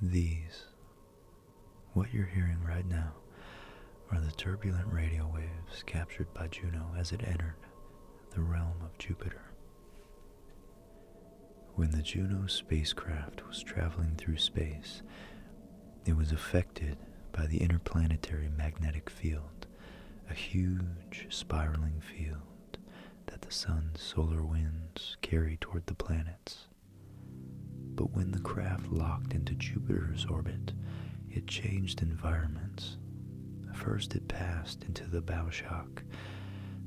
These, what you're hearing right now, are the turbulent radio waves captured by Juno as it entered the realm of Jupiter. When the Juno spacecraft was traveling through space, it was affected by the interplanetary magnetic field, a huge spiraling field that the sun's solar winds carry toward the planet. But when the craft locked into Jupiter's orbit, it changed environments. First, it passed into the bow shock,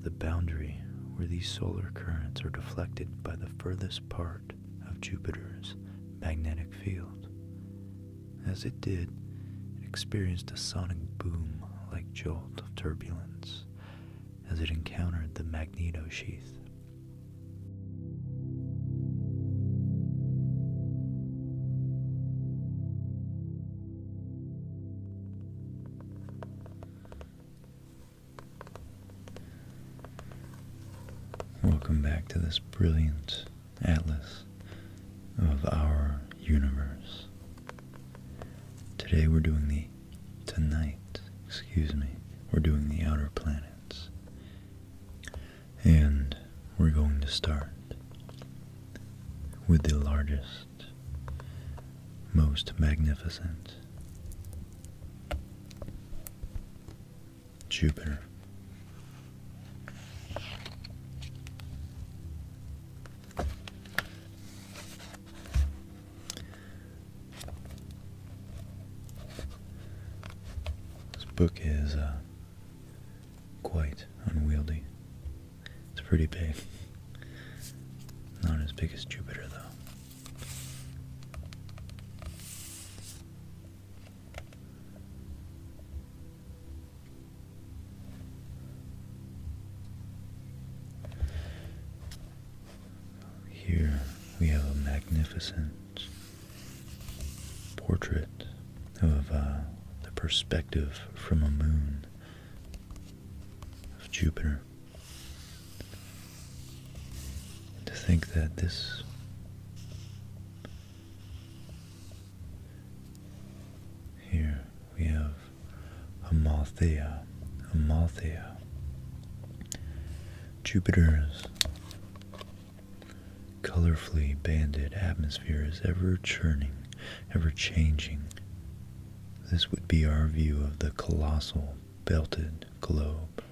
the boundary where these solar currents are deflected by the furthest part of Jupiter's magnetic field. As it did, it experienced a sonic boom like jolt of turbulence, as it encountered the magneto sheath. Welcome back to this brilliant atlas of our universe. Today we're doing the tonight, excuse me, we're doing the outer planets. And we're going to start with the largest, most magnificent Jupiter. This book is uh, quite unwieldy. It's pretty big. Not as big as Jupiter, though. Here we have a magnificent portrait of uh, the perspective from a moon of Jupiter. to think that this here we have Amalthea, Amalthea. Jupiter's colorfully banded atmosphere is ever churning, ever changing. This would be our view of the colossal belted globe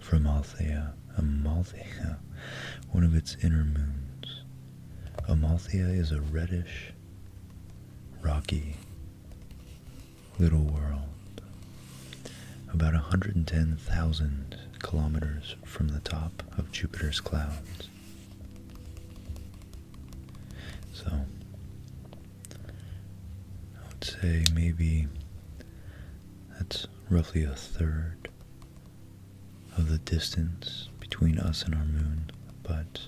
from Amalthea, Amalthea, one of its inner moons. Amalthea is a reddish, rocky little world, about 110,000 kilometers from the top of Jupiter's clouds. So, I would say maybe that's roughly a third of the distance between us and our moon, but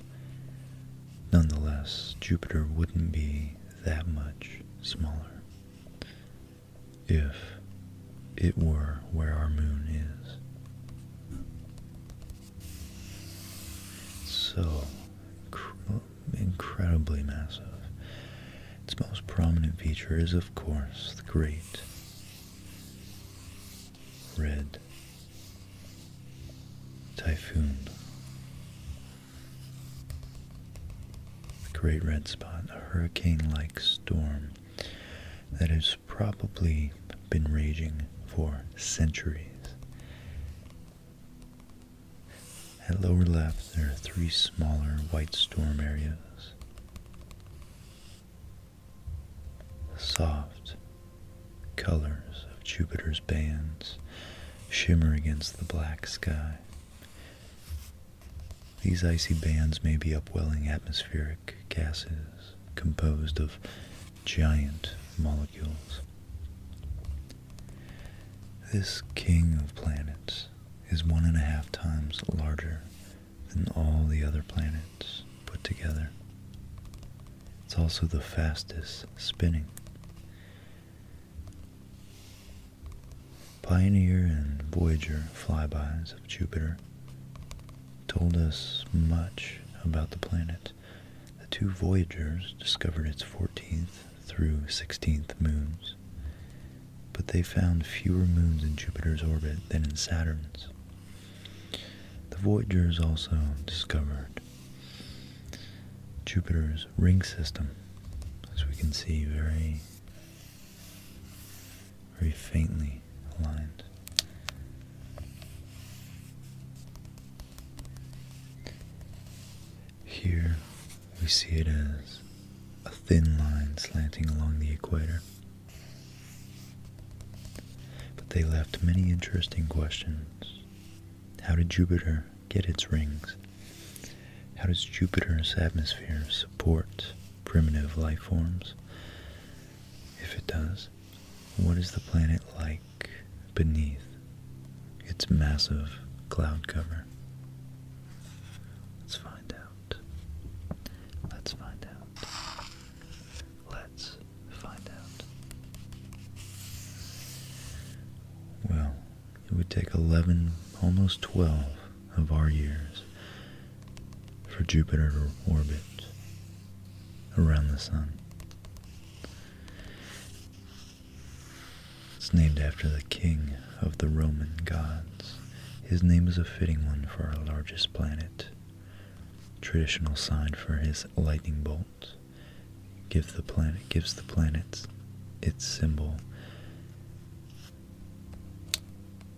Nonetheless, Jupiter wouldn't be that much smaller if it were where our moon is. So incredibly massive. Its most prominent feature is, of course, the great red typhoon the Great Red Spot, a hurricane-like storm that has probably been raging for centuries. At lower left, there are three smaller white storm areas. Soft, Colors of Jupiter's bands shimmer against the black sky. These icy bands may be upwelling atmospheric gases composed of giant molecules. This king of planets is one and a half times larger than all the other planets put together. It's also the fastest spinning. Pioneer and Voyager flybys of Jupiter told us much about the planet. The two Voyagers discovered its 14th through 16th moons, but they found fewer moons in Jupiter's orbit than in Saturn's. The Voyagers also discovered Jupiter's ring system, as we can see, very, very faintly aligned. Here we see it as a thin line slanting along the equator. But they left many interesting questions. How did Jupiter get its rings? How does Jupiter's atmosphere support primitive life forms? If it does, what is the planet like beneath its massive cloud cover? Let's find out. Let's find out. Let's find out. Well, it would take 11, almost 12 of our years for Jupiter to orbit around the Sun. It's named after the king of the Roman gods. His name is a fitting one for our largest planet, traditional sign for his lightning bolt world, give the planet gives the planets its symbol.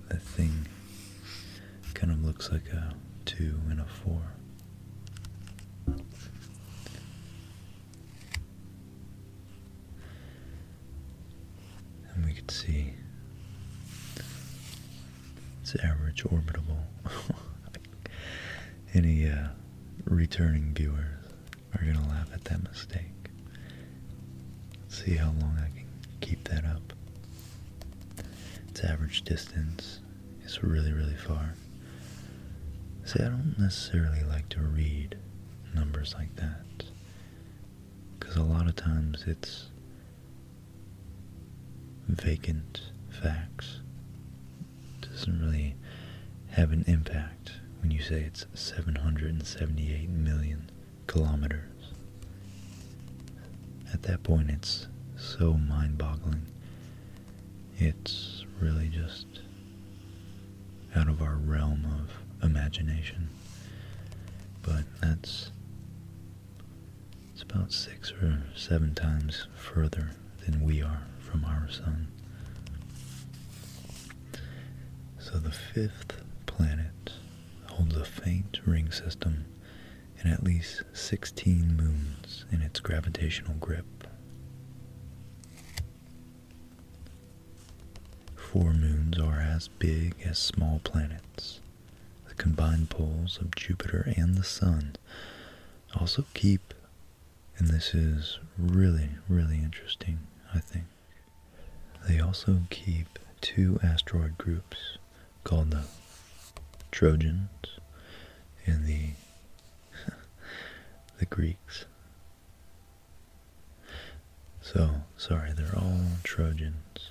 The thing kind of looks like a two and a four. And we can see its average orbital. any uh, returning viewers are going to laugh at that mistake. see how long I can keep that up. Its average distance is really, really far. See, I don't necessarily like to read numbers like that because a lot of times it's vacant facts doesn't really have an impact when you say it's 778 million kilometers. At that point, it's so mind boggling. It's really just out of our realm of imagination. But that's it's about six or seven times further than we are from our sun. So the fifth planet holds a faint ring system and at least 16 moons in its gravitational grip. Four moons are as big as small planets. The combined poles of Jupiter and the Sun also keep and this is really, really interesting, I think. They also keep two asteroid groups called the Trojans and the the Greeks. So, sorry, they're all Trojans.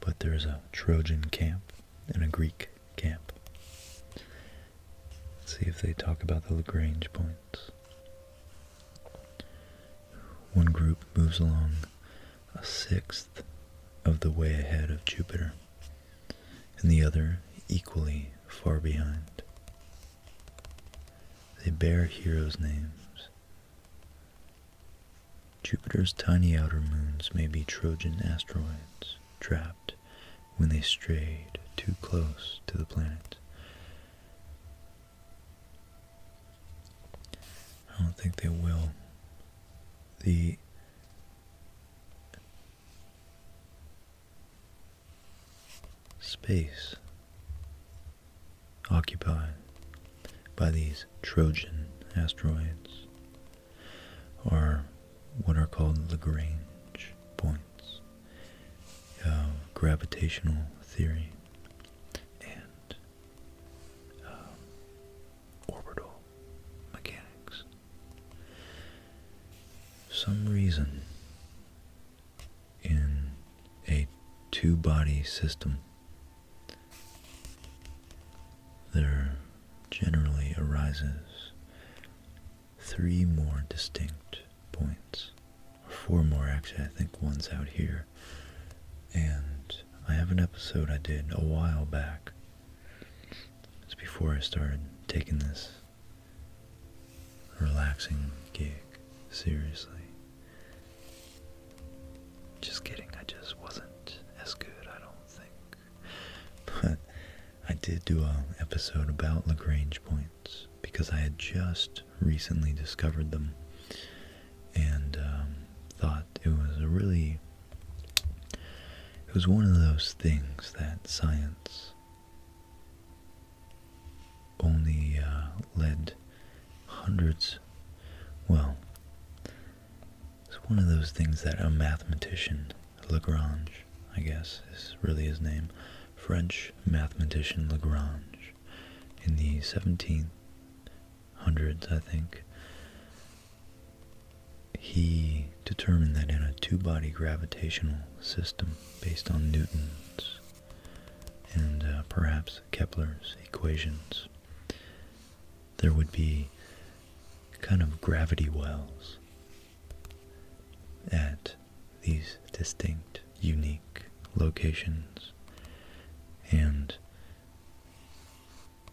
But there's a Trojan camp and a Greek camp. Let's see if they talk about the Lagrange points. One group moves along a sixth of the way ahead of Jupiter, and the other equally far behind. They bear heroes' names. Jupiter's tiny outer moons may be Trojan asteroids, trapped when they strayed too close to the planet. I don't think they will. The space occupied by these Trojan asteroids are what are called Lagrange points, gravitational theory, and um, orbital mechanics. Some reason in a two-body system, there generally arises three more distinct points, or four more actually. I think one's out here. And I have an episode I did a while back. It's before I started taking this relaxing gig seriously. Just kidding, I just wasn't as good, I don't think. but I did do an episode about Lagrange points because I had just recently discovered them and um, thought it was a really, it was one of those things that science only uh, led hundreds, well, it's one of those things that a mathematician Lagrange, I guess, is really his name, French mathematician Lagrange, in the 1700s, I think, he determined that in a two-body gravitational system based on Newton's and uh, perhaps Kepler's equations, there would be kind of gravity wells at these distinct, unique locations, and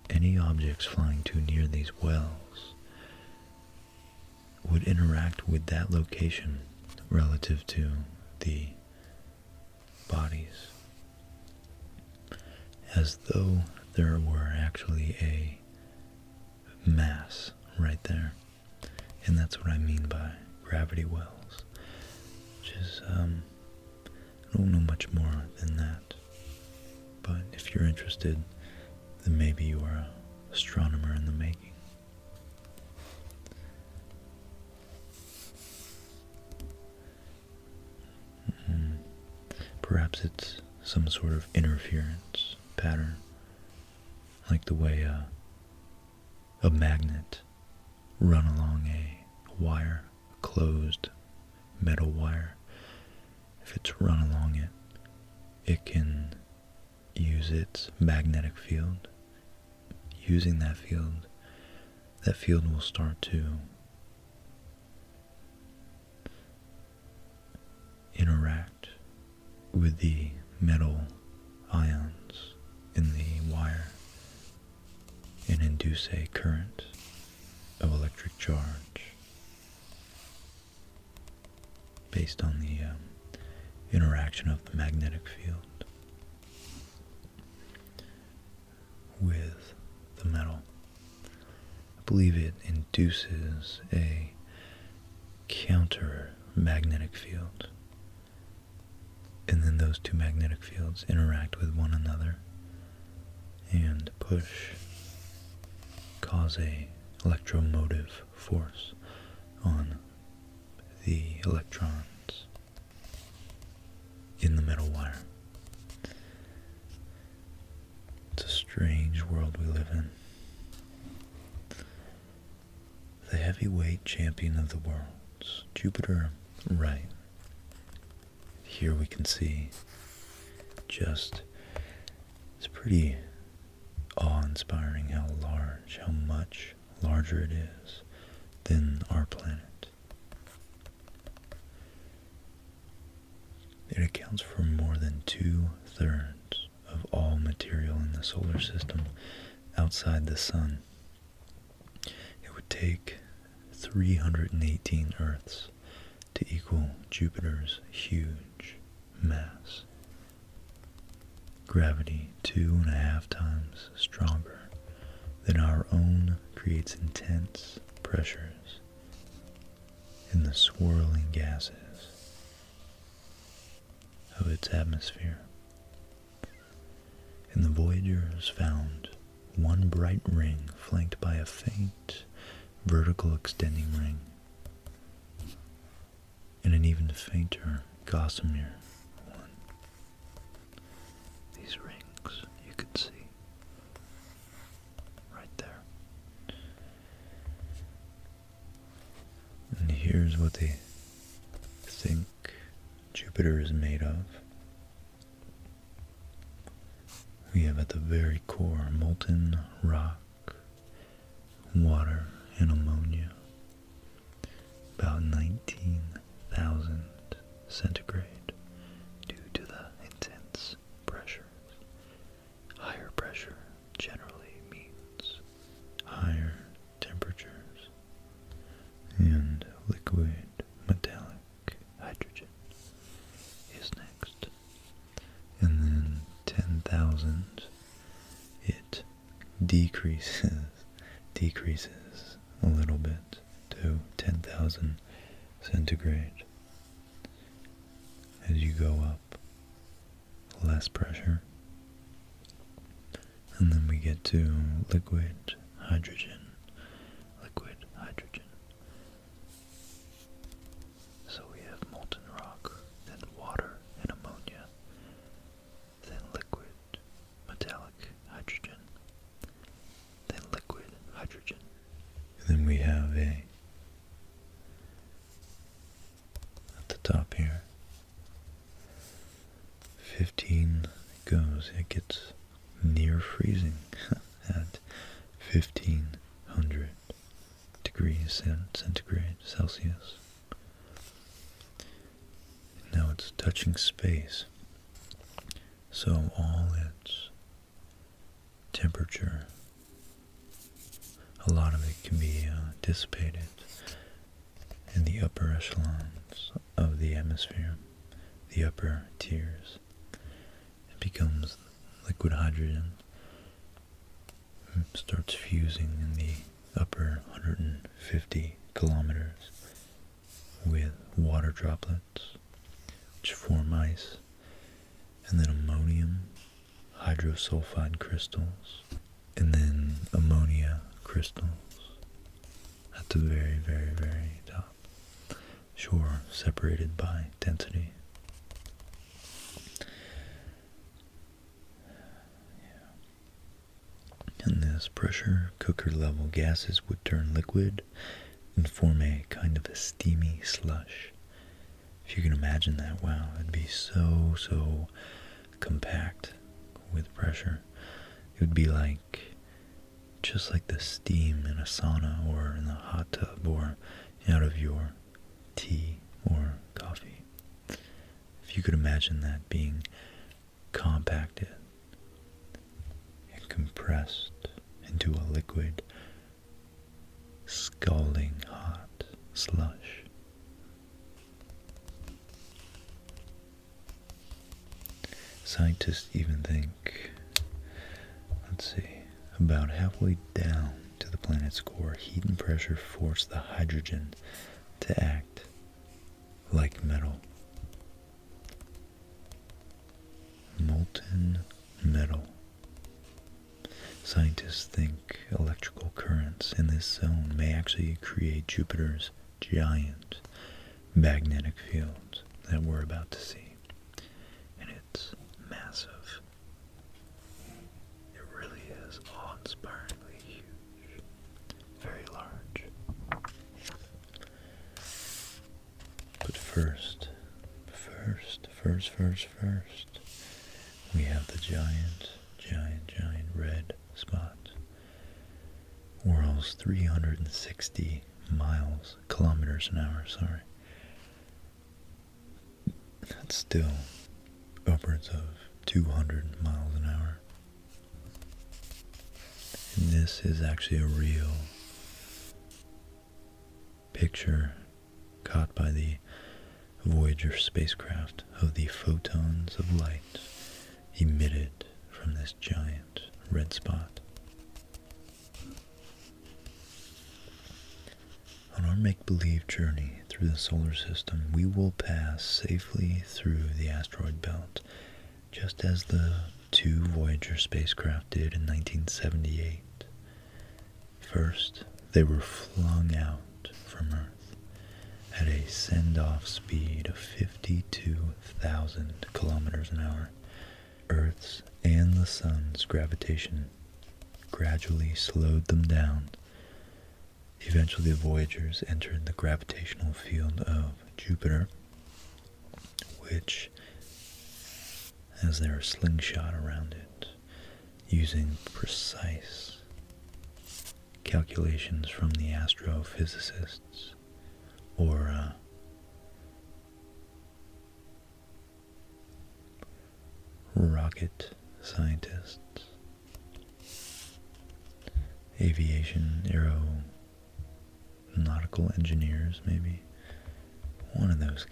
any objects flying too near these wells would interact with that location relative to the bodies as though there were actually a mass right there. And that's what I mean by gravity wells. Which is, um, I don't know much more than that. But if you're interested, then maybe you are an astronomer in the making. Hmm. Perhaps it's some sort of interference pattern, like the way a, a magnet run along a wire, a closed metal wire. If it's run along it, it can use its magnetic field. Using that field, that field will start to interact with the metal ions in the wire and induce a current of electric charge based on the um, interaction of the magnetic field with the metal. I believe it induces a counter magnetic field. And then those two magnetic fields interact with one another and push, cause a electromotive force on the electrons in the metal wire. It's a strange world we live in. The heavyweight champion of the worlds, Jupiter Right. Here we can see just it's pretty awe-inspiring how large, how much larger it is than our planet. It accounts for more than two-thirds of all material in the solar system outside the Sun. It would take 318 Earths to equal Jupiter's huge mass. Gravity, two and a half times stronger than our own, creates intense pressures in the swirling gases of its atmosphere. And the voyagers found one bright ring flanked by a faint vertical extending ring and an even fainter gossamer one. These rings you could see right there. And here's what they think Jupiter is made of. We have at the very core molten rock, water, and ammonia, about 19,000 centigrade due to the intense pressures Higher pressure generally means higher temperatures and liquid metallic hydrogen is next. And then 10,000 it decreases decreases a little bit to 10,000 centigrade as you go up less pressure. And then we get to liquid hydrogen, liquid hydrogen. So we have molten rock, then water and ammonia, then liquid metallic hydrogen, then liquid hydrogen. And then we have a at the top here. 15 goes, it gets near freezing at 1500 degrees centigrade Celsius. Now it's touching space, so all its temperature. A lot of it can be uh, dissipated in the upper echelons of the atmosphere, the upper tiers. It becomes liquid hydrogen. It starts fusing in the upper 150 kilometers with water droplets, which form ice, and then ammonium hydrosulfide crystals, and then ammonia crystals at the very, very, very top. Sure, separated by density. Yeah. In this pressure, cooker level gases would turn liquid and form a kind of a steamy slush if you could imagine that, wow, it'd be so, so compact with pressure. It would be like just like the steam in a sauna or in a hot tub or out of your tea or coffee. If you could imagine that being compacted and compressed into a liquid scalding hot slush. Scientists even think, let's see, about halfway down to the planet's core, heat and pressure force the hydrogen to act like metal. Molten metal Scientists think electrical currents in this zone may actually create Jupiter's giant magnetic fields that we're about to see. And it's massive. It really is awe-inspiringly huge. Very large. But first, first, first, first, first, we have the giant, giant, giant red spot. Whirls 360 miles, kilometers an hour, sorry. That's still upwards of 200 miles an hour. this is actually a real picture caught by the Voyager spacecraft of the photons of light emitted from this giant red spot. On our make-believe journey through the solar system, we will pass safely through the asteroid belt, just as the two Voyager spacecraft did in 1978. First, they were flung out from Earth at a send off speed of 52,000 kilometers an hour. Earth's and the Sun's gravitation gradually slowed them down. Eventually, the Voyagers entered the gravitational field of Jupiter, which, as their slingshot around it, using precise calculations from the astrophysicists or uh, rocket scientists, aviation, aeronautical engineers, maybe. One of those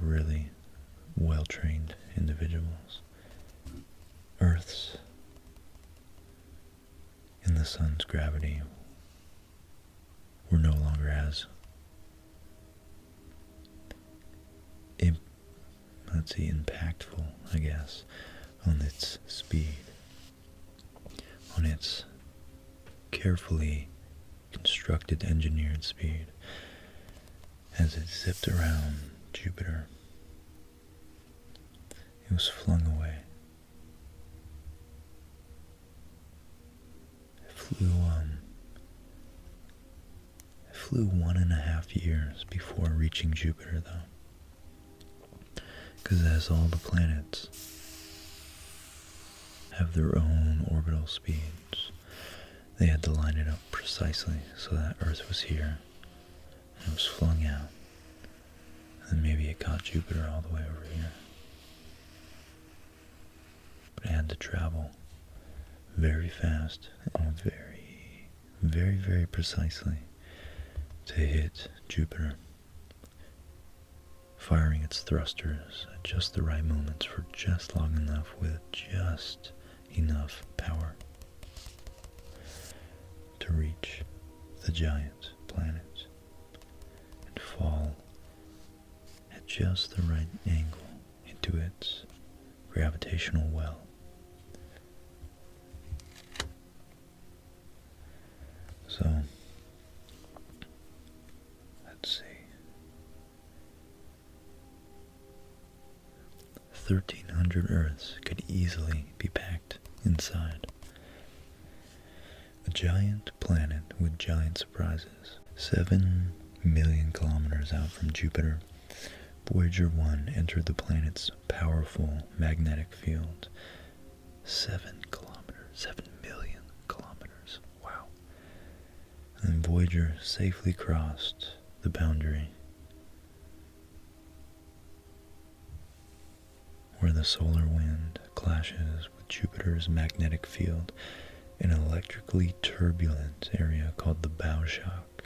really well-trained individuals. Earth's in the sun's gravity were no longer as let's see, impactful, I guess, on its speed, on its carefully constructed, engineered speed as it zipped around Jupiter. It was flung away. It flew um it flew one and a half years before reaching Jupiter though. Cause as all the planets have their own orbital speeds. They had to line it up precisely so that Earth was here and it was flung out. And maybe it caught Jupiter all the way over here. But it had to travel very fast and very, very, very precisely to hit Jupiter, firing its thrusters at just the right moments for just long enough with just enough power to reach the giant planets and fall at just the right angle into its gravitational well. So, let's see. Thirteen hundred Earths could easily be packed inside. A giant planet with giant surprises. Seven million kilometers out from Jupiter, Voyager 1 entered the planet's powerful magnetic field. Seven kilometers, seven million kilometers. Wow. And Voyager safely crossed the boundary where the solar wind clashes with Jupiter's magnetic field in an electrically turbulent area called the bow shock.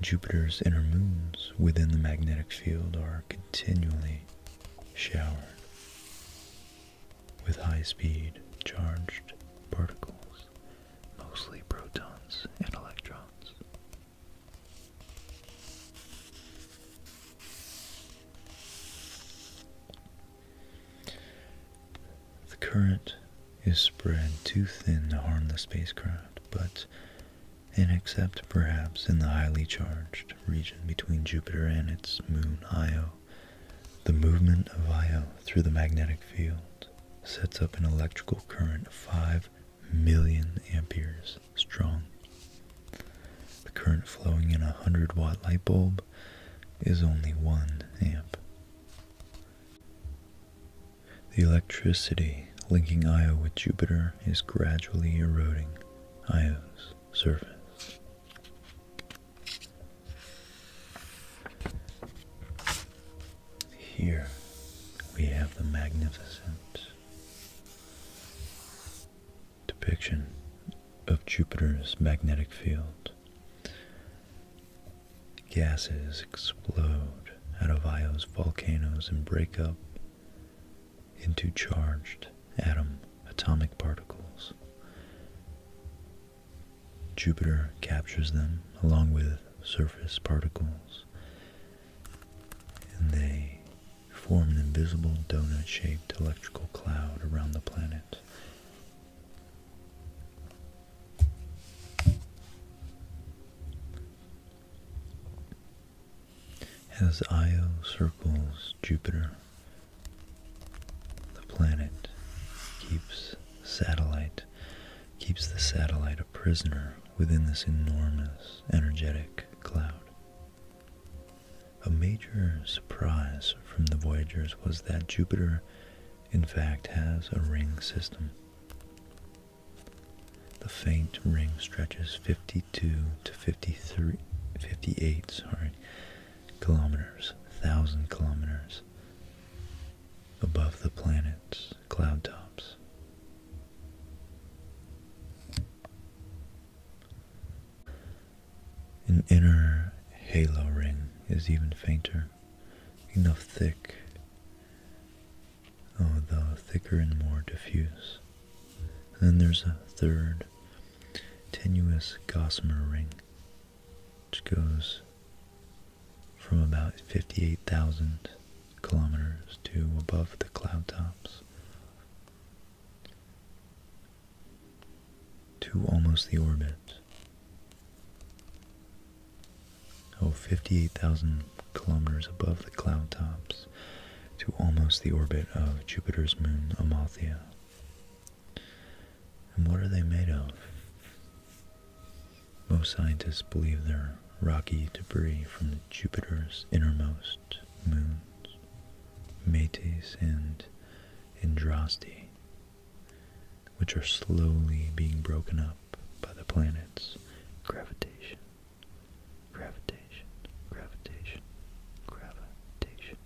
Jupiter's inner moons within the magnetic field are continually showered with high speed charged particles mostly protons and electrons. The current is spread too thin to harm the spacecraft, but except perhaps in the highly charged region between Jupiter and its moon Io, the movement of Io through the magnetic field sets up an electrical current of 5 million amperes strong. The current flowing in a 100 watt light bulb is only 1 amp. The electricity linking Io with Jupiter is gradually eroding Io's surface. Here we have the magnificent depiction of Jupiter's magnetic field. Gases explode out of Io's volcanoes and break up into charged atom atomic particles. Jupiter captures them along with surface particles, and they form an invisible donut shaped electrical cloud around the planet. As Io circles Jupiter, the planet, keeps satellite, keeps the satellite a prisoner within this enormous energetic cloud. A major surprise from the Voyagers was that Jupiter, in fact, has a ring system. The faint ring stretches 52 to 53, 58 sorry, kilometers, 1,000 kilometers, above the planet's cloud tops. An inner halo ring is even fainter, enough thick, although oh, thicker and more diffuse. then there's a third tenuous gossamer ring, which goes from about 58,000 kilometers to above the cloud tops to almost the orbit. 58,000 kilometers above the cloud tops to almost the orbit of Jupiter's moon Amalthea. And what are they made of? Most scientists believe they're rocky debris from Jupiter's innermost moons, Metis and Androste, which are slowly being broken up by the planet's gravitation. Gravitation, gravitation, gravitation.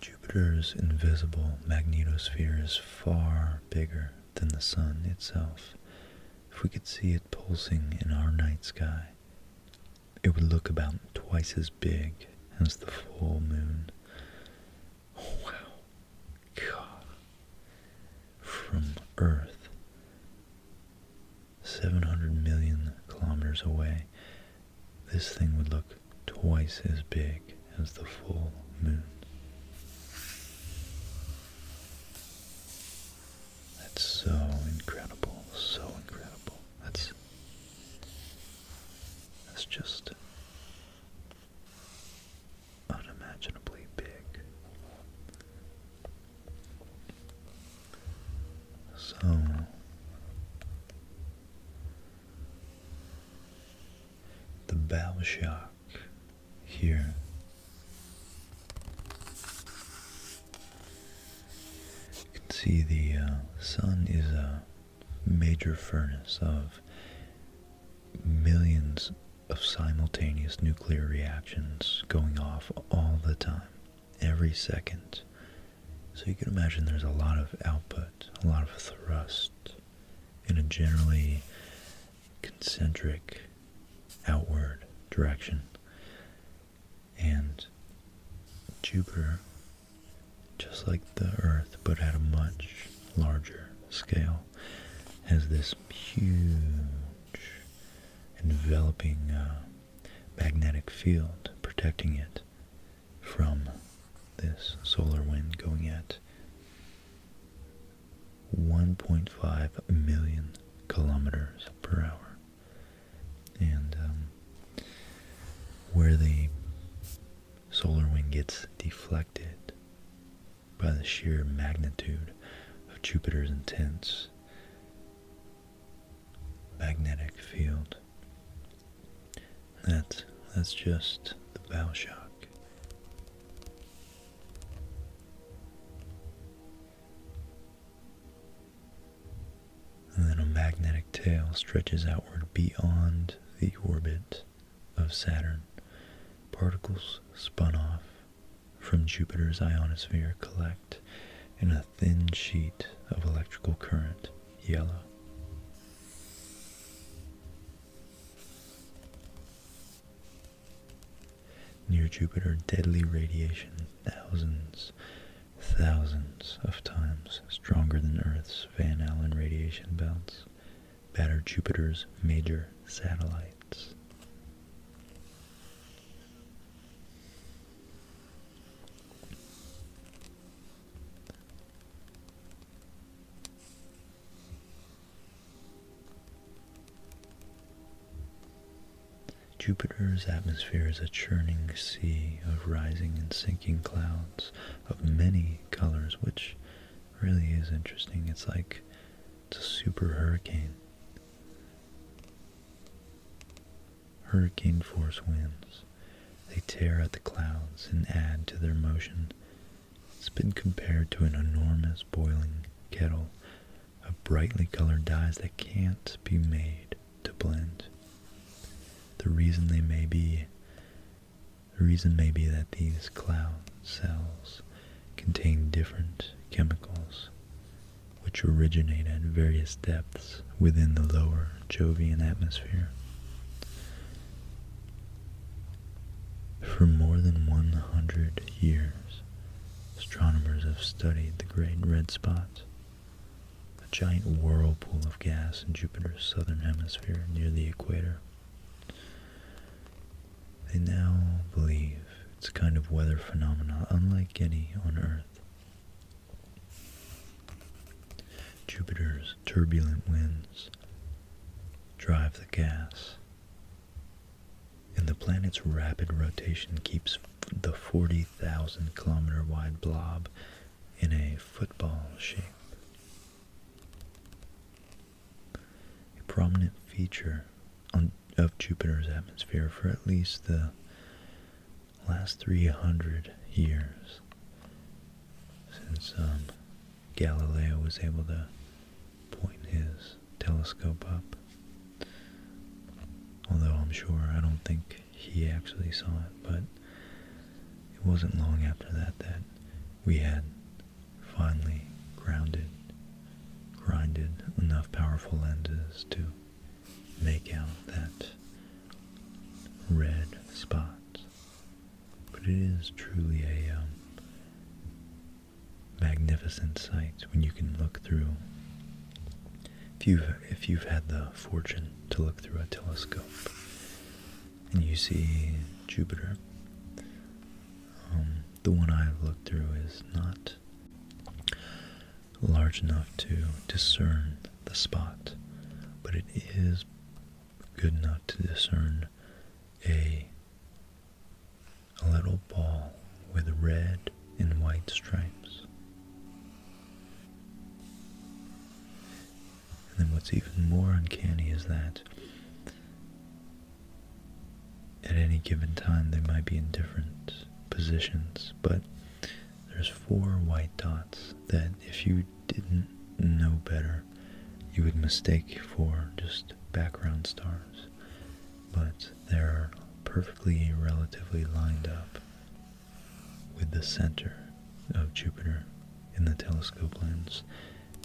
Jupiter's invisible magnetosphere is far bigger than the Sun itself. If we could see it pulsing in our night sky, it would look about twice as big as the full moon. wow. God. From Earth, 700 million kilometers away, this thing would look twice as big as the full moon. That's so incredible, so incredible. That's that's just unimaginably big. So the bow shark here you can see the uh, sun is a major furnace of millions of simultaneous nuclear reactions going off all the time every second. So you can imagine there's a lot of output, a lot of thrust in a generally concentric outward direction. And Jupiter, just like the Earth, but at a much larger scale, has this huge enveloping uh, magnetic field protecting it from this solar wind going at 1.5 million kilometers per hour. And um, where the solar wind gets deflected by the sheer magnitude of Jupiter's intense magnetic field. That, that's just the bow shock. And then a magnetic tail stretches outward beyond the orbit of Saturn. Particles spun off from Jupiter's ionosphere collect in a thin sheet of electrical current, yellow. Near Jupiter, deadly radiation thousands, thousands of times stronger than Earth's Van Allen radiation belts battered Jupiter's major satellites. Jupiter's atmosphere is a churning sea of rising and sinking clouds of many colors, which really is interesting. It's like it's a super hurricane hurricane force winds. They tear at the clouds and add to their motion. It's been compared to an enormous boiling kettle of brightly colored dyes that can't be made to blend. The reason they may be the reason may be that these cloud cells contain different chemicals which originate at various depths within the lower Jovian atmosphere. For more than 100 years, astronomers have studied the Great Red Spot, a giant whirlpool of gas in Jupiter's southern hemisphere near the equator. They now believe it's a kind of weather phenomenon unlike any on Earth, Jupiter's turbulent winds drive the gas, and the planet's rapid rotation keeps the 40,000 kilometer wide blob in a football shape. A prominent feature of Jupiter's atmosphere for at least the last 300 years since um, Galileo was able to point his telescope up. Although I'm sure I don't think he actually saw it, but it wasn't long after that that we had finally grounded, grinded enough powerful lenses to make out that red spot. But it is truly a um, magnificent sight when you can look through. If you've, if you've had the fortune to look through a telescope and you see Jupiter, um, the one I've looked through is not large enough to discern the spot, but it is good enough to discern a, a little ball with red and white stripes. And then what's even more uncanny is that at any given time they might be in different positions, but there's four white dots that if you didn't know better, you would mistake for just background stars. But they're perfectly relatively lined up with the center of Jupiter in the telescope lens,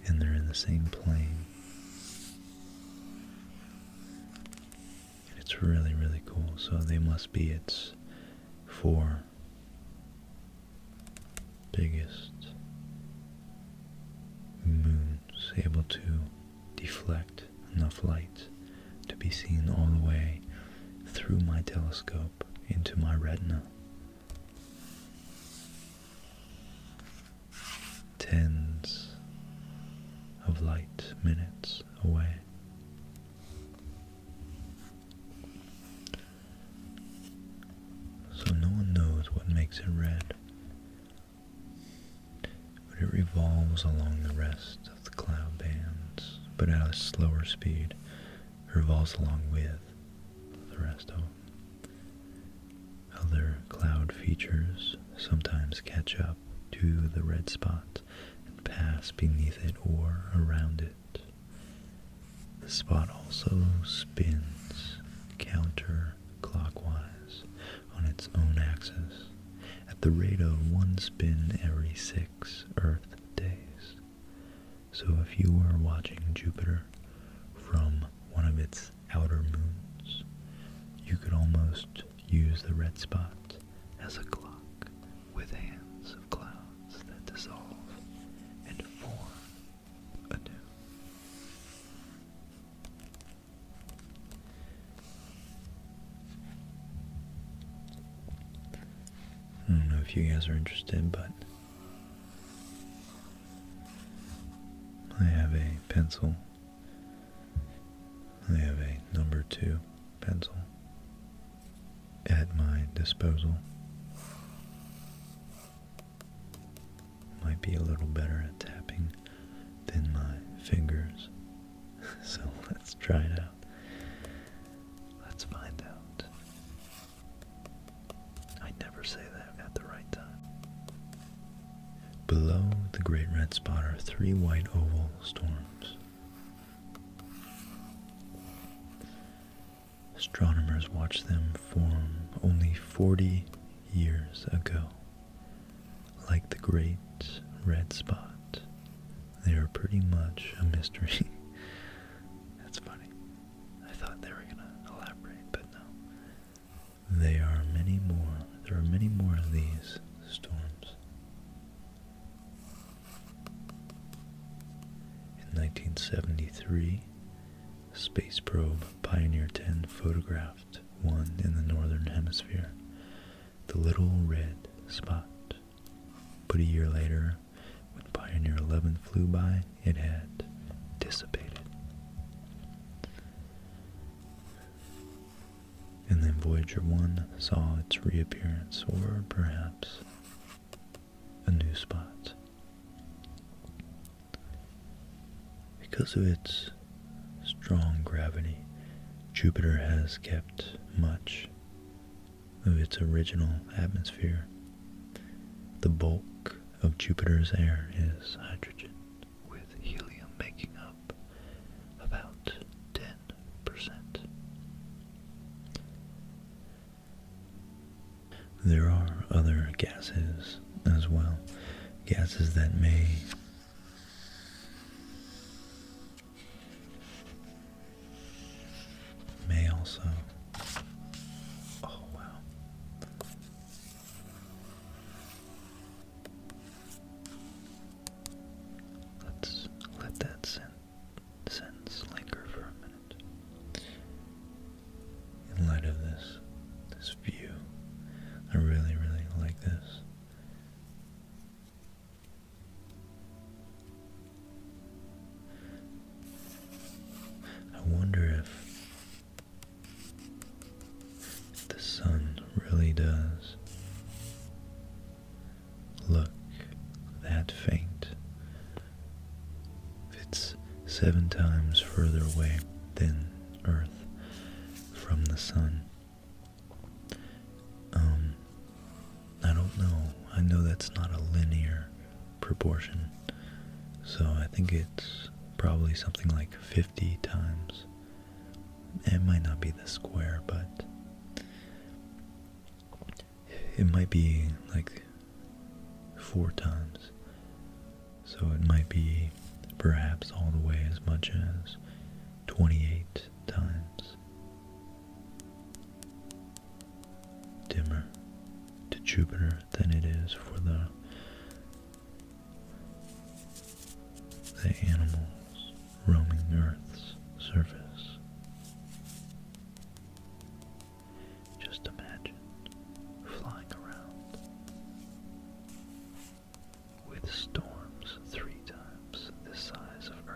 and they're in the same plane. It's really, really cool. So they must be its four biggest moons able to deflect enough light to be seen all the way through my telescope into my retina. 10s of light minutes away. So no one knows what makes it red, but it revolves along the rest of the cloud bands, but at a slower speed. revolves along with the rest of Other cloud features sometimes catch up to the red spot and pass beneath it or around it. The spot also spins counterclockwise on its own axis at the rate of one spin every six Earth days. So if you were watching Jupiter from one of its outer moons, you could almost use the red spot as a clock with hands of clouds that dissolve and form anew. I don't know if you guys are interested, but I have a pencil. I have a number two pencil at my disposal. Might be a little better at tapping than my fingers. so let's try it out. Let's find out. I never say that at the right time. Below the great red spot are three white oval storms. Astronomers watched them form only 40 years ago. Like the Great Red Spot, they are pretty much a mystery. That's funny. I thought they were gonna elaborate, but no. They are many more. There are many more of these storms. In 1973, space probe Pioneer 10 photographed one in the northern hemisphere, the little red spot. But a year later, when Pioneer 11 flew by, it had dissipated. And then Voyager 1 saw its reappearance, or perhaps a new spot. Because of its strong gravity, Jupiter has kept much of its original atmosphere. The bulk of Jupiter's air is hydrogen, with helium making up about 10%. There are other gases as well, gases that may may also oh wow let's let that sink sentence linger for a minute. In light of this, this view, I really, really like this. I wonder if the sun really does Look, that faint. It's seven times further away than Earth from the sun. Um, I don't know. I know that's not a linear proportion. So I think it's probably something like 50 times. It might not be the square, but it might be like four times. So it might be perhaps all the way as much as 28 times. Dimmer to Jupiter than it is for the the animals roaming Earth's surface. Just imagine flying around with storms three times the size of Earth.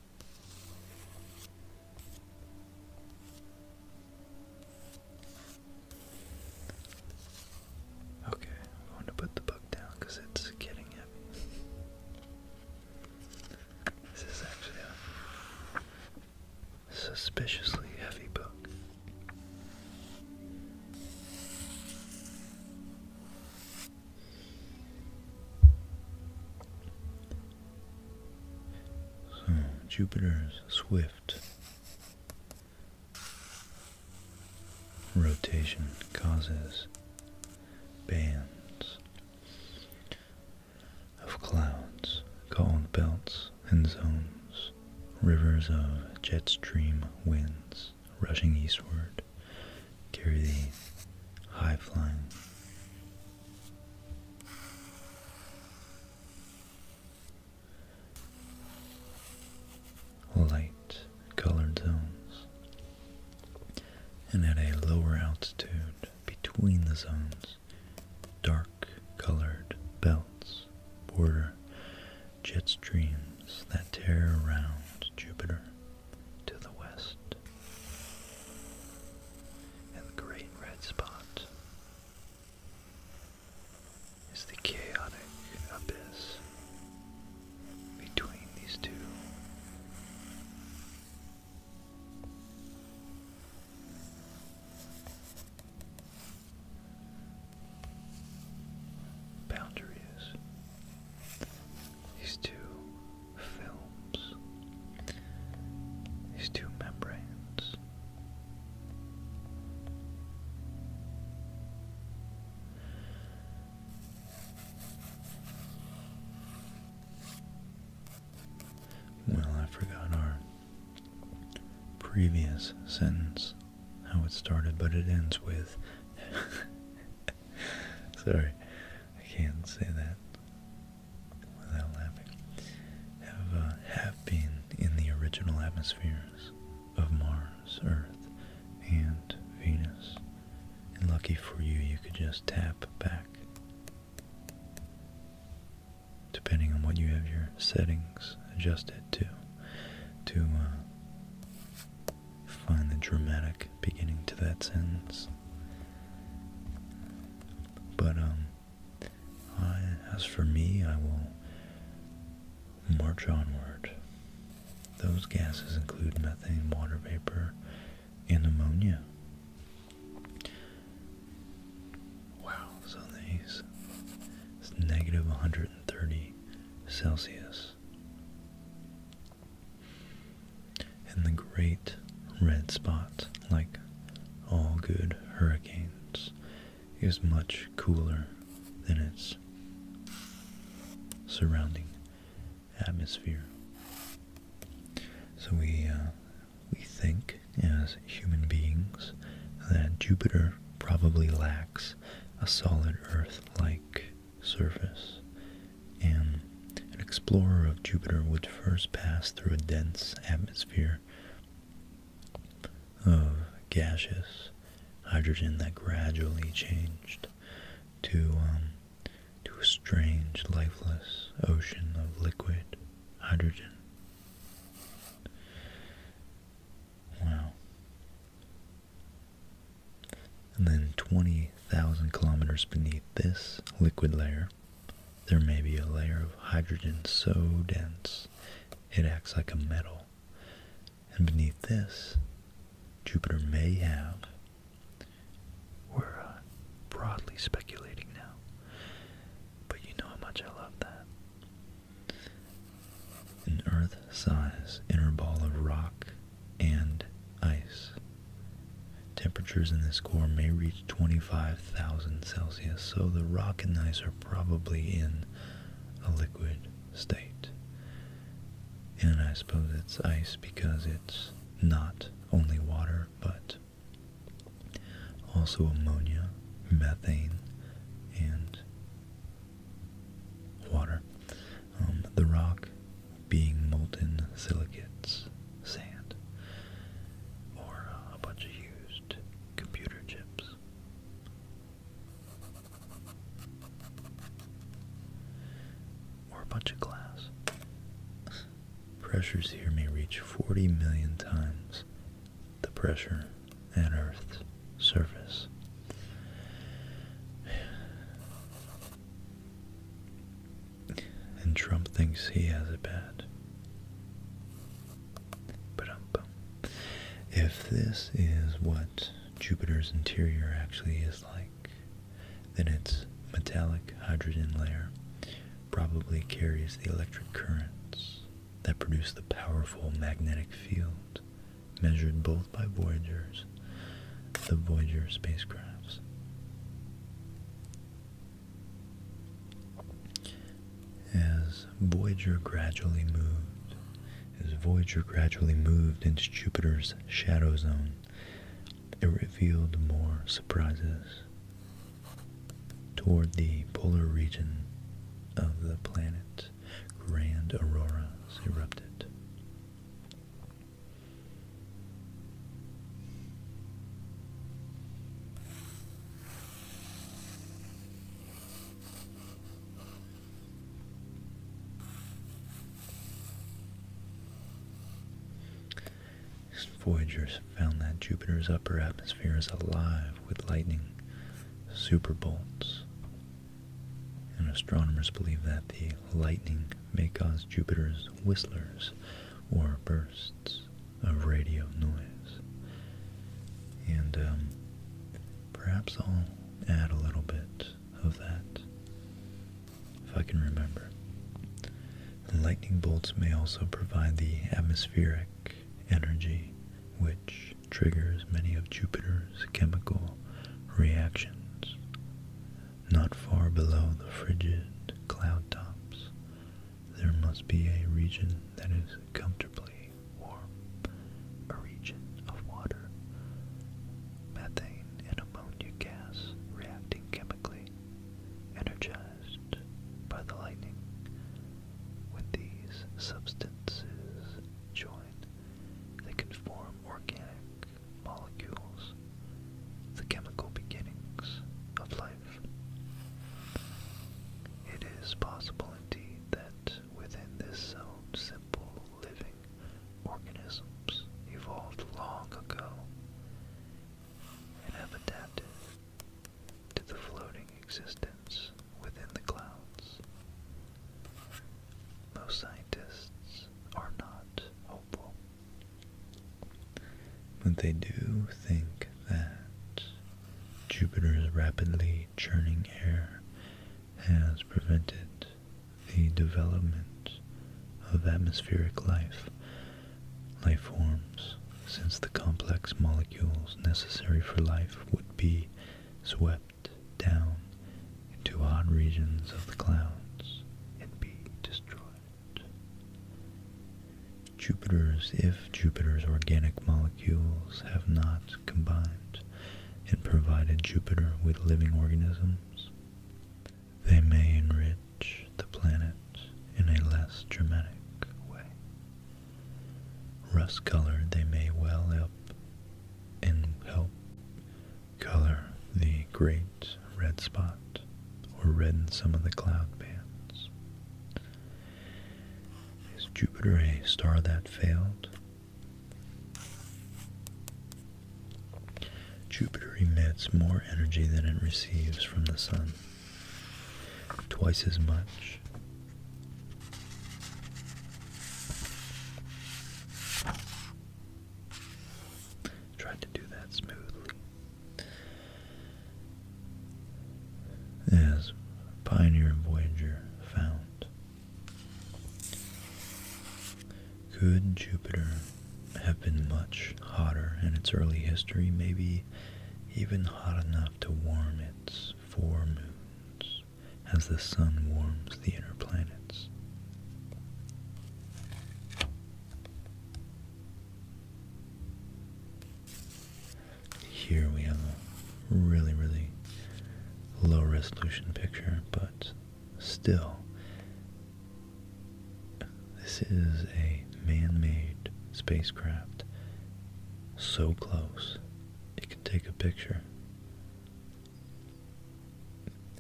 Okay, I'm to put the book down because it's getting heavy. This is actually a suspiciously heavy book. Hmm, Jupiter's swift rotation causes bands of clouds called belts and zones, rivers of jet stream winds rushing eastward carry the high-flying light colored zones and at a lower altitude between the zones dark colored belts border jet streams that tear around Jupiter to the west, and the great red spot is the chaotic abyss between these two. Boundaries these two films, these two membranes. Well, I forgot our previous sentence, how it started, but it ends with. Sorry, I can't say that without laughing, have, uh, have been in the original atmospheres of Mars, Earth, and Venus. And lucky for you, you could just tap back. Depending on what you have your settings adjusted to, to uh, find the dramatic beginning to that sentence. But um, as for me, I will march onward. Those gases include methane, water vapor, and ammonia. Wow, so these it's negative 130 Celsius and the great red spot, like all good hurricanes, is much cooler than its surrounding atmosphere. So we uh, we think as human beings that Jupiter probably lacks a solid Earth-like surface and an explorer of Jupiter would first pass through a dense atmosphere of gaseous hydrogen that gradually changed to um, to a strange, lifeless ocean of liquid hydrogen. Wow. And then 20,000 kilometers beneath this liquid layer, there may be a layer of hydrogen so dense it acts like a metal. And beneath this, Jupiter may have, we're uh, broadly speculating now, but you know how much I love that. An Earth size inner ball of rock and ice Temperatures in this core may reach 25,000 Celsius, so the rock and ice are probably in a liquid state. And I suppose it's ice because it's not only water, but also ammonia, methane, and water. Um, the rock being molten silicates, sand, or uh, a bunch of used computer chips. Or a bunch of glass. Pressures here may reach 40 million times the pressure at Earth's surface. And Trump thinks he has it bad. if this is what Jupiter's interior actually is like, then its metallic hydrogen layer probably carries the electric currents that produce the powerful magnetic field measured both by Voyagers, the Voyager spacecrafts. As Voyager gradually moved, as Voyager gradually moved into Jupiter's shadow zone, it revealed more surprises. Toward the polar region of the planet, grand auroras erupted. Voyagers found that Jupiter's upper atmosphere is alive with lightning superbolts, and astronomers believe that the lightning may cause Jupiter's whistlers or bursts of radio noise. And um, perhaps I'll add a little bit of that if I can remember. Lightning bolts may also provide the atmospheric energy which triggers many of Jupiter's chemical reactions. Not far below the frigid cloud tops, there must be a region that is comfortably warm, a region of water, methane and ammonia gas reacting chemically, energized by the lightning. When these substances join, they can form organic molecules, the chemical beginnings of life. It is possible indeed that within this zone simple living organisms evolved long ago and have adapted to the floating existence within the clouds. Most scientists are not hopeful but they do think that Jupiter's rapidly churning air has prevented the development of atmospheric life, life forms, since the complex molecules necessary for life would be swept down into hot regions of the clouds and be destroyed. Jupiter's if Jupiter's organic molecules have not combined and provided Jupiter with living organisms, they may enrich the planet in a less dramatic way. Rust colored, they may well help and help color the great red spot or redden some of the cloud bands. Is Jupiter a star that failed? Jupiter emits more energy than it receives from the sun, twice as much. Tried to do that smoothly as Pioneer and Voyager found. Could Jupiter have been much hotter in its early history, maybe even hot enough to warm its four moons as the sun warms the inner planets? Here we have a really, really low resolution picture, but still, this is a man-made spacecraft so close it can take a picture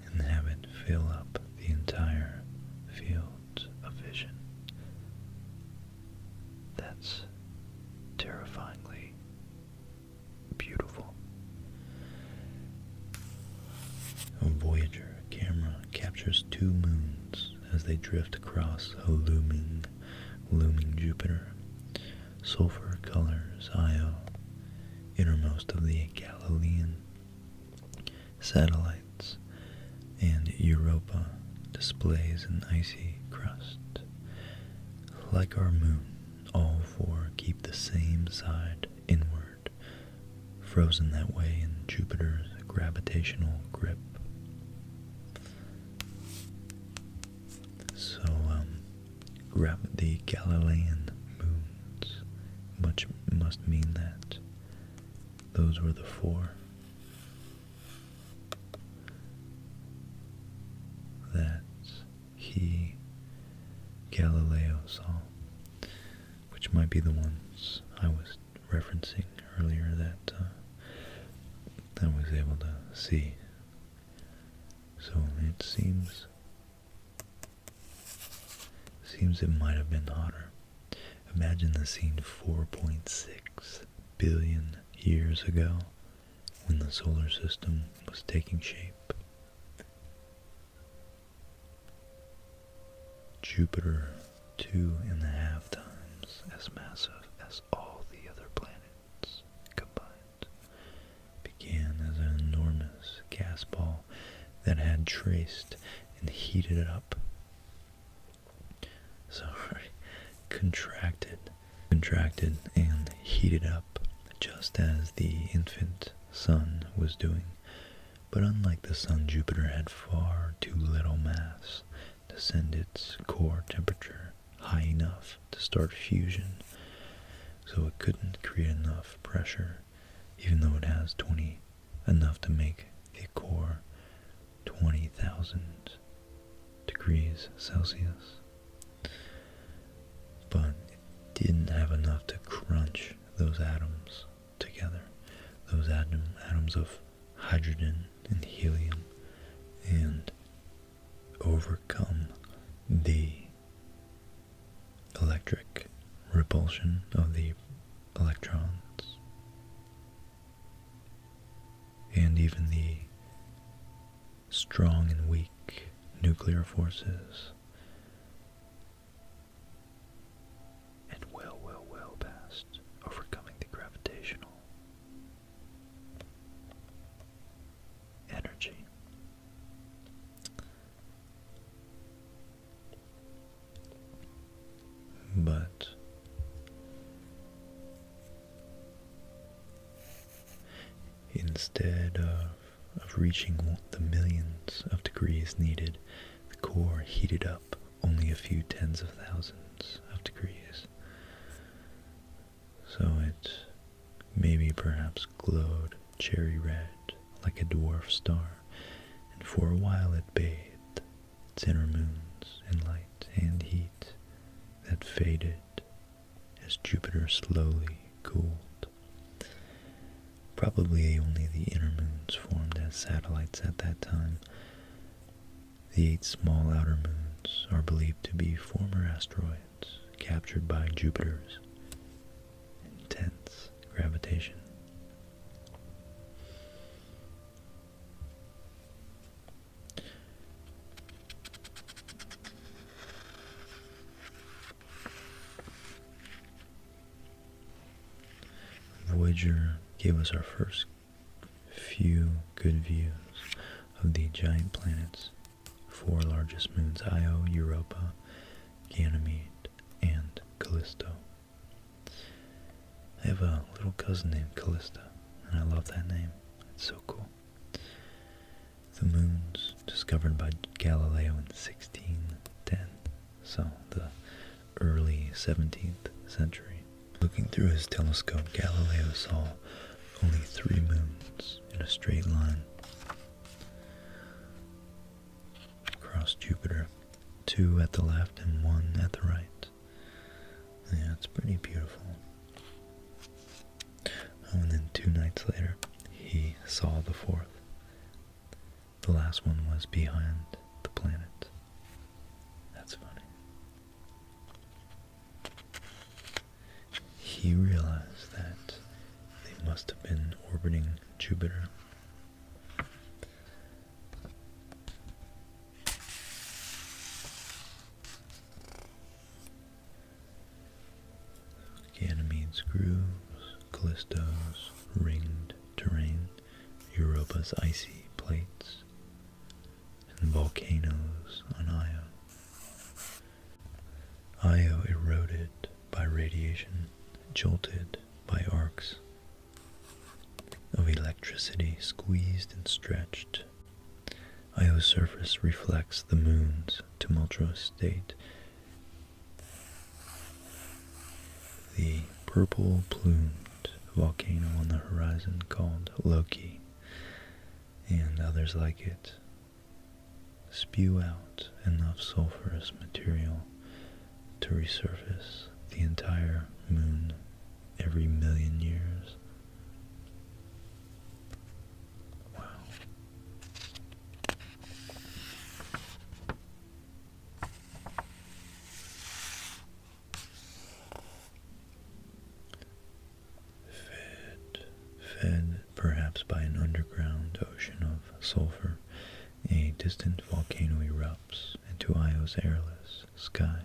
and have it fill up the entire field. A vision. That's terrifyingly beautiful. A Voyager camera captures two moons as they drift across a looming, looming Jupiter. Sulfur colors Io, innermost of the Galilean satellites, and Europa displays an icy crust. Like our moon, all four keep the same side inward, frozen that way in Jupiter's gravitational grip. So, um, grab the Galilean moons, which must mean that those were the four that he, Galileo, saw, which might be the ones I was referencing earlier uh, that I was able to see. So it seems seems it might have been hotter. Imagine the scene 4.6 billion years ago when the solar system was taking shape. Jupiter two and a half times as massive as all the other planets combined began as an enormous gas ball that had traced and heated up so contracted, contracted and heated up just as the infant sun was doing. But unlike the sun, Jupiter had far too little mass to send its core temperature high enough to start fusion, so it couldn't create enough pressure, even though it has 20 enough to make the core 20,000 degrees Celsius. But it didn't have enough to crunch those atoms together, those atom, atoms of hydrogen and helium, and overcome the electric repulsion of the electrons. And even the strong and weak nuclear forces. And well, well, well past overcoming the gravitational energy. But instead of, of reaching the millions of degrees needed, the core heated up only a few tens of thousands of degrees. So it maybe perhaps glowed cherry red like a dwarf star, and for a while it bathed its inner moons and light and heat that faded as Jupiter slowly cooled. Probably only the inner moons formed as satellites at that time. The eight small outer moons are believed to be former asteroids captured by Jupiter's intense gravitation. Voyager gave us our first few good views of the giant planets, four largest moons Io, Europa, Ganymede, and Callisto. I have a little cousin named Callista, and I love that name. It's so cool. The moons discovered by Galileo in 1610, so the early 17th century. Looking through his telescope, Galileo saw only three moons in a straight line across Jupiter, two at the left and one at the right. Yeah, it's pretty beautiful. Oh, and then two nights later, he saw the fourth. The last one was behind the planet. That's funny. He realized that they must have been orbiting Jupiter. Ganymede's grooves, Callisto's ringed terrain, Europa's icy plates, and volcanoes on Io. Io eroded by radiation, jolted by arcs of electricity squeezed and stretched. Io's surface reflects the moon's tumultuous state. The purple plumed volcano on the horizon called Loki and others like it spew out enough sulfurous material to resurface the entire moon every million years. Wow. Fed, fed perhaps by an underground ocean of sulfur a distant volcano erupts into Io's airless sky.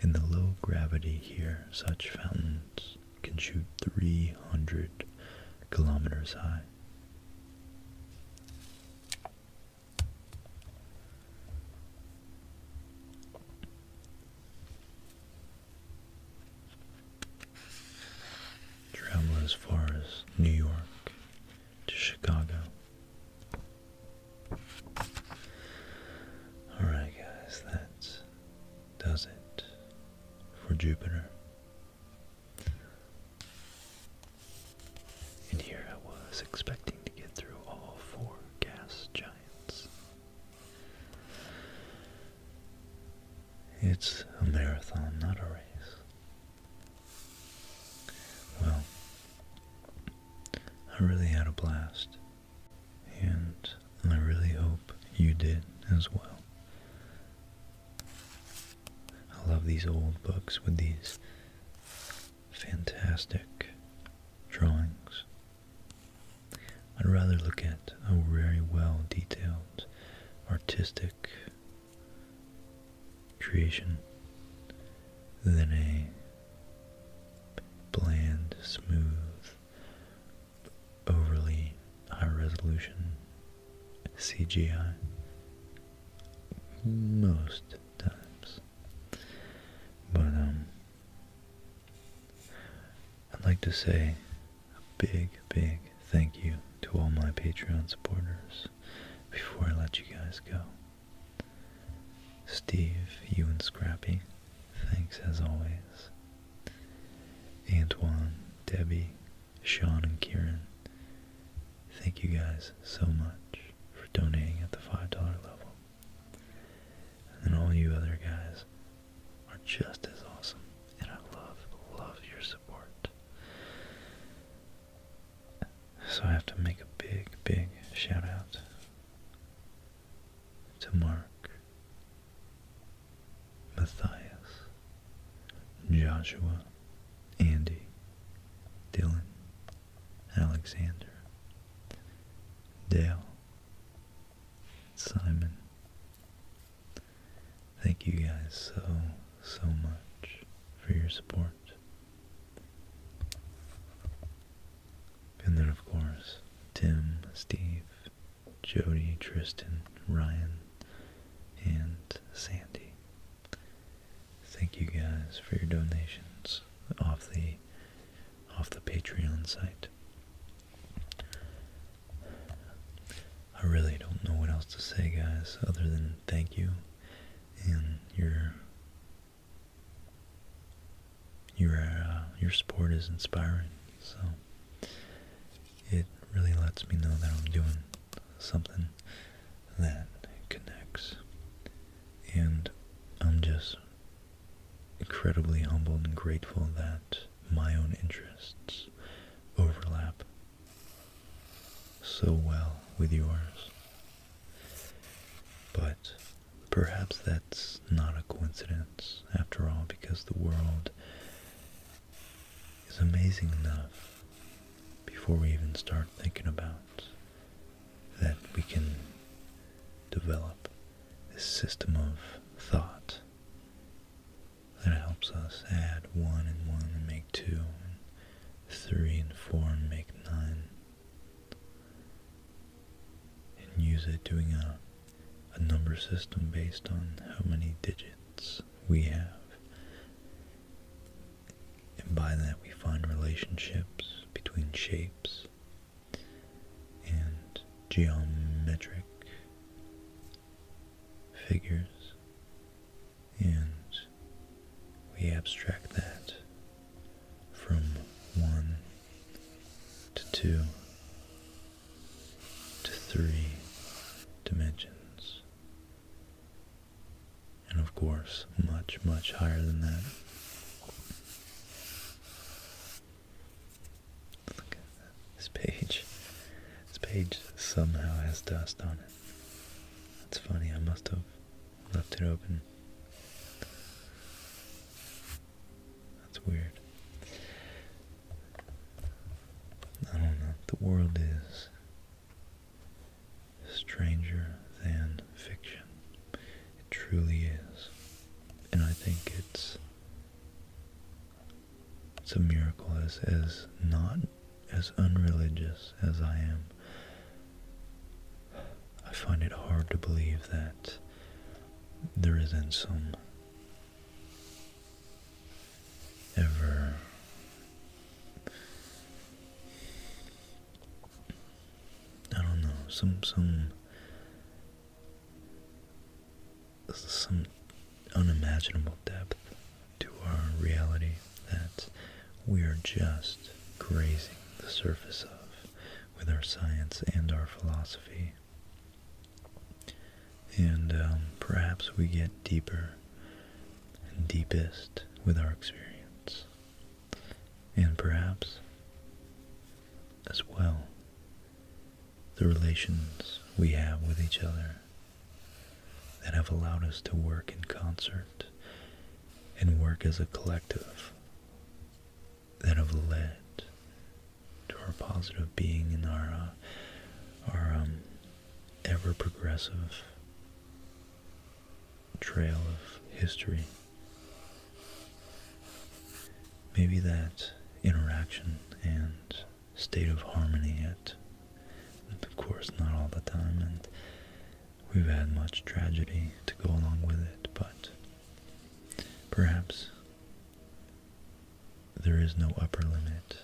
In the low gravity here, such fountains can shoot 300 kilometers high. Travel as far as New York to Chicago. Alright, guys, that does it for Jupiter. And here I was expecting to get through all four gas giants. It's a marathon, not a race. Well, I really had a blast, and I really hope you did as well. I love these old books with these fantastic drawings. I'd rather look at a very well detailed artistic creation Then a bland, smooth, overly high resolution CGI most times. But um I'd like to say a big, big thank you to all my Patreon supporters before I let you guys go. Steve, you and Scrappy, thanks as always. Antoine, Debbie, Sean, and Kieran, thank you guys so much for donating at the $5 level. And all you other guys are just as awesome, and I love, love your support. So I have to make a big, big shout out to Mark, Matthias, Joshua, Andy, Dylan, Alexander, Dale, Simon. Thank you guys so, so much for your support. And then, of course, Tim, Steve, Jody, Tristan, Ryan, and Sandy. Thank you guys for your donations off the off the Patreon site. I really don't know what else to say, guys, other than thank you and your your uh, your sport is inspiring. So it really lets me know that I'm doing something that connects, and I'm just incredibly humbled and grateful that my own interests overlap so well with yours but perhaps that's not a coincidence after all, because the world is amazing enough before we even start thinking about that we can develop this system of thought that helps us add one and one and make two, and three and four and make nine and use it doing a, a number system based on how many digits we have. And by that we find relationships between shapes and geometric figures and we abstract that from 1 to 2 to 3 dimensions. And of course, much, much higher than that. Look at this page. This page somehow has dust on it. That's funny, I must have left it open. That's weird. I don't know. The world is stranger than fiction. It truly is. And I think it's it's a miracle as as not as unreligious as I am, I find it hard to believe that there in some ever I don't know some some some unimaginable depth to our reality that we're just grazing the surface of with our science and our philosophy. And um, perhaps we get deeper and deepest with our experience. And perhaps, as well, the relations we have with each other that have allowed us to work in concert and work as a collective that have led to our positive being in our, uh, our um, ever progressive trail of history. Maybe that interaction and state of harmony at, of course, not all the time, and We've had much tragedy to go along with it, but perhaps there is no upper limit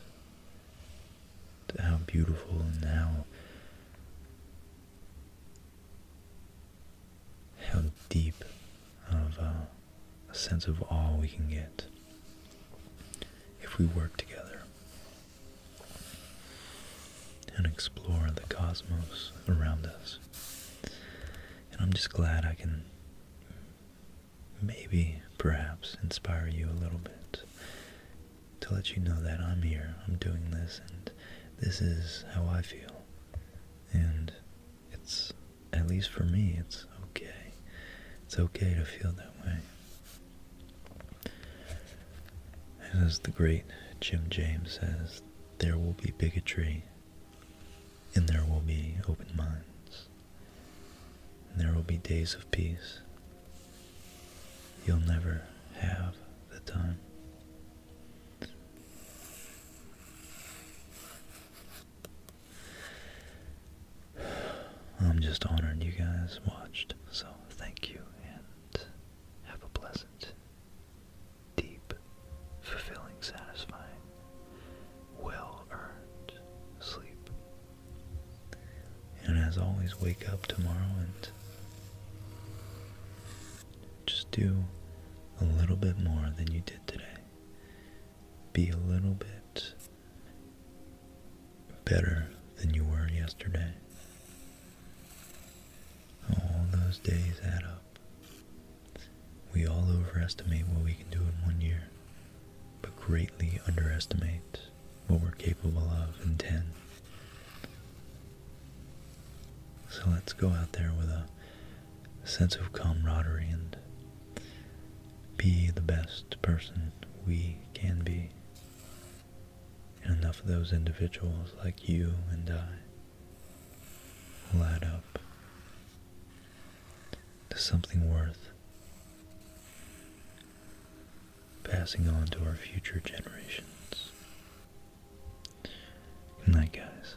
to how beautiful and how, how deep of uh, a, sense of awe we can get if we work together and explore the cosmos around us. And I'm just glad I can maybe, perhaps, inspire you a little bit to let you know that I'm here, I'm doing this, and this is how I feel. And it's, at least for me, it's okay. It's okay to feel that way. And as the great Jim James says, there will be bigotry, and there will be open minds, and there will be days of peace. You'll never have the time. I'm just honored you guys watched, so thank you and have a blessed deep, fulfilling, satisfying, well earned sleep. And as always, wake up tomorrow and just do a little bit more than you did today. Be a little bit better than you were yesterday. All those days add up. We all overestimate what we can do in one year, but greatly underestimate what we're capable of in 10. So let's go out there with a sense of camaraderie and be the best person we can be enough of those individuals like you and I will add up to something worth passing on to our future generations. Good night, guys.